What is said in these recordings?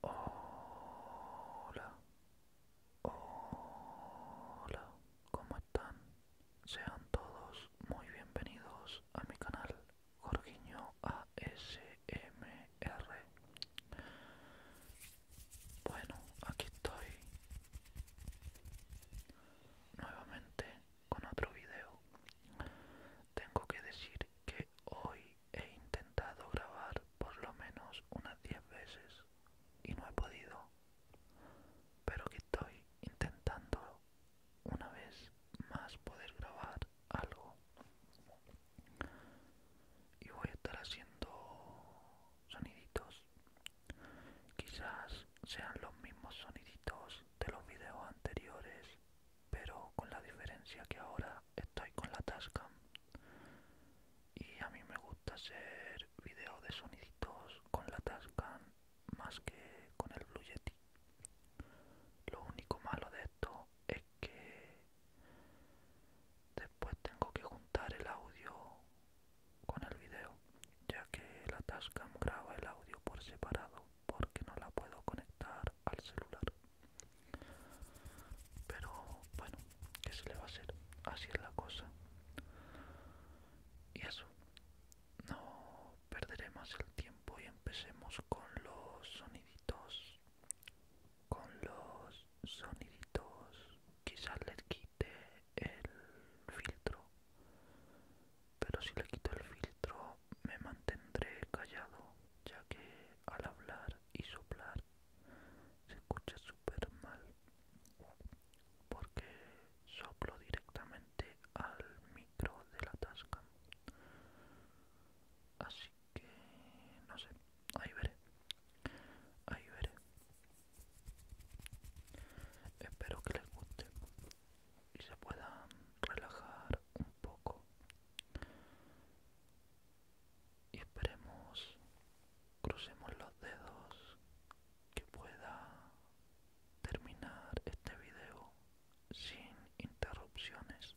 Hola, hola, ¿cómo están? Sean todos muy bienvenidos a mi canal Jorginho ASMR. Bueno, aquí estoy nuevamente con otro video. Tengo que decir que hoy he intentado grabar por lo menos unas 10 veces y no he podido, pero que estoy intentando una vez más poder grabar algo y voy a estar haciendo soniditos quizás sean los mismos soniditos de los videos anteriores pero con la diferencia que ahora estoy con la Tascam y a mí me gusta hacer videos de soniditos con la Tascam más que con el Blue Yeti. Lo único malo de esto es que después tengo que juntar el audio con el video, ya que la Tascam graba el audio por separado porque no la puedo conectar al celular pero bueno que se le va a hacer así es la cosa y eso no perderemos el tiempo y empecemos con los soniditos con los soniditos quizás les quite el filtro pero si le quito el filtro me mantendré callado ya que al hablar y soplar se escucha súper mal porque soplo directamente al micro de la tasca así que no sé ahí veré ahí veré espero que les guste y se puedan relajar un poco y esperemos, crucemos los dedos que pueda terminar este video sin interrupciones.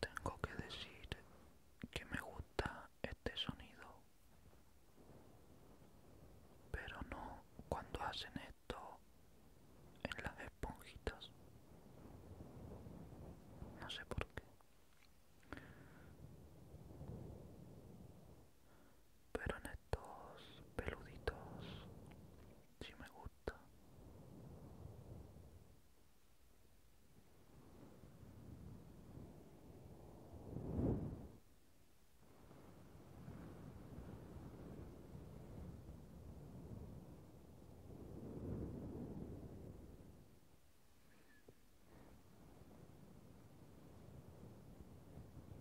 Tengo que decir que me gusta este sonido, pero no cuando hacen esto en las esponjitas. No sé por qué pero en estos peluditos sí me gusta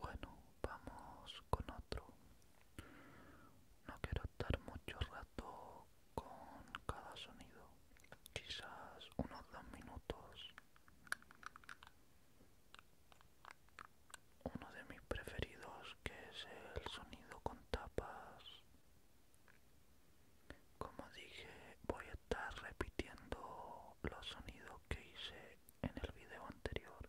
Bueno, vamos con otro. No quiero estar mucho rato con cada sonido, quizás unos dos minutos uno de mis preferidos que es el sonido con tapas como dije voy a estar repitiendo los sonidos que hice en el video anterior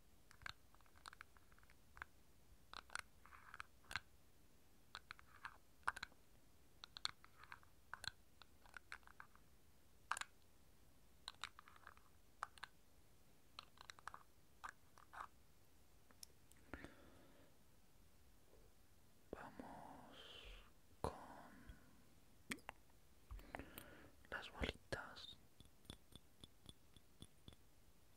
Vamos con las bolitas.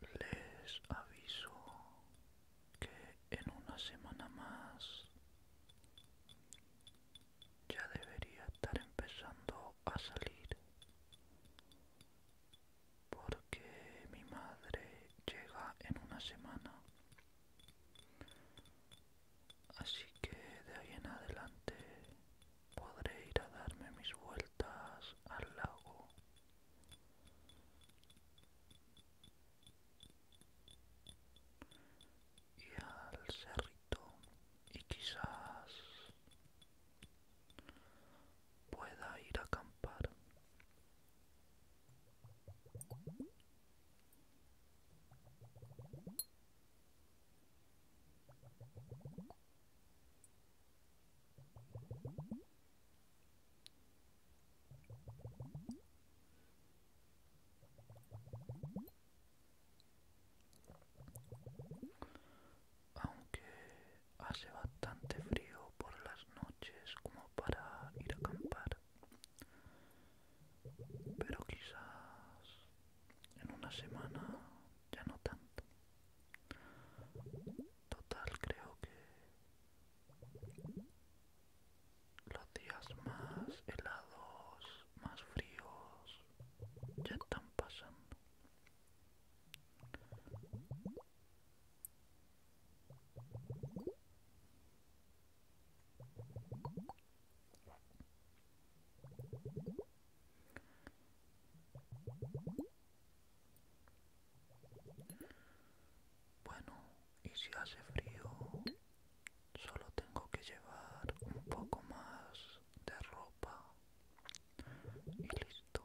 Les aviso que en una semana más ya debería estar empezando a salir porque mi madre llega en una semana Así que de ahí en adelante podré ir a darme mis vueltas al lago. Y al cerrito y quizás pueda ir a acampar aunque hace bastante frío por las noches como para ir a acampar. Pero quizás en una semana ya no tanto. Total, creo que los días más helados, más fríos, ya están pasando. Bueno, y si hace frío, solo tengo que llevar un poco más de ropa y listo.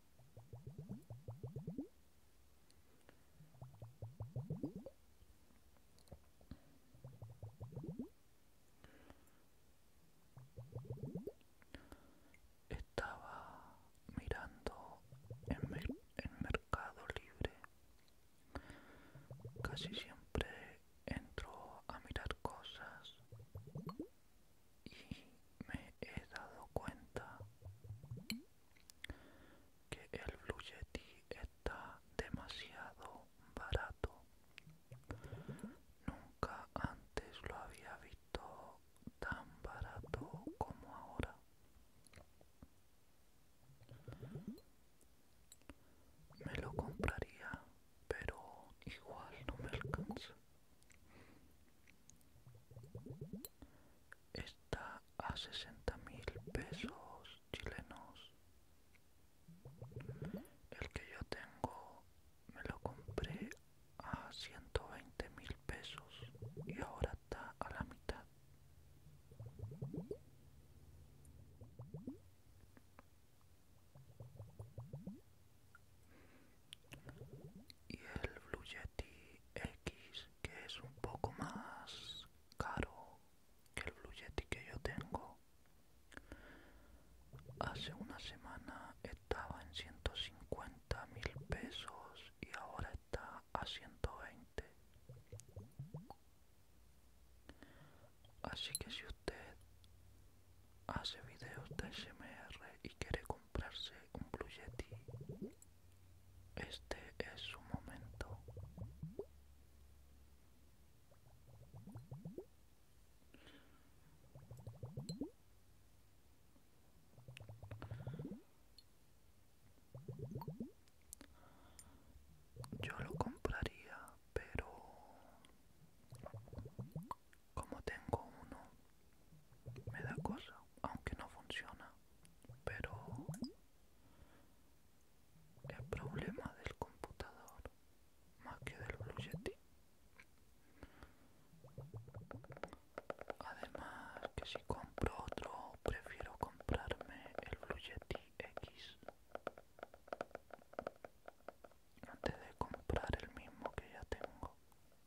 Estaba mirando en, Mercado Libre. Casi siempre entro a mirar cosas y me he dado cuenta que el Blue Yeti está demasiado barato. Nunca antes lo había visto tan barato como ahora. Me lo compraría, pero igual no me alcanza. Está a sesenta mil pesos chilenos. El que yo tengo me lo compré a veinte mil pesos y ahora está a la mitad y el Blue Yeti X que es un poco más caro que el Blue Yeti que yo tengo hace una semana estaba en 150 mil pesos y ahora está a 120 así que si usted hace videos de SMR y quiere comprarse un Blue Este es su momento. Yo lo compraría, pero como tengo uno, me da cosa, aunque no funciona, pero el problema del computador más que del Blue Además que si compro otro prefiero comprarme el Blue X antes de comprar el mismo que ya tengo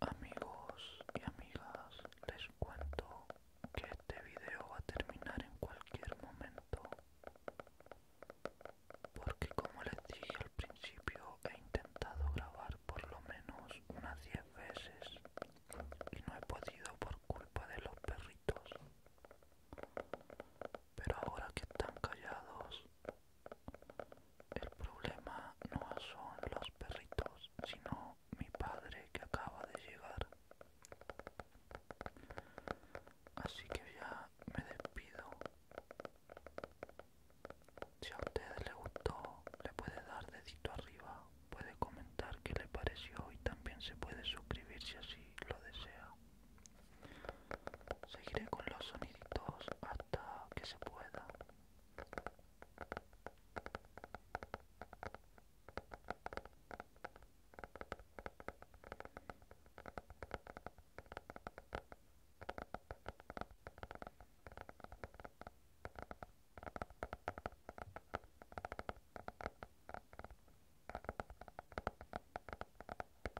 Amigos y amigas, les cuento que este video va a terminar en cualquier momento. Porque como les dije al principio, he intentado grabar por lo menos unas 10 veces y no he podido por culpa de los perritos. Pero ahora que están callados, el problema no son los perritos, sino mi padre que acaba de llegar. Así que ya me despido. Si a ustedes les gustó, le puede dar dedito arriba, puede comentar qué le pareció y también se puede suscribir si así lo desea. Seguiré con los soniditos hasta que se pueda.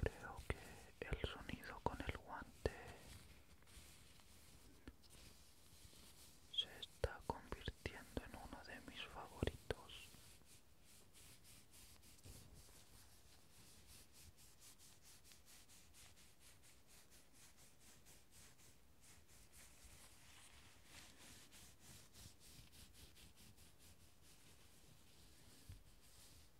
Creo que el sonido con el guante se está convirtiendo en uno de mis favoritos.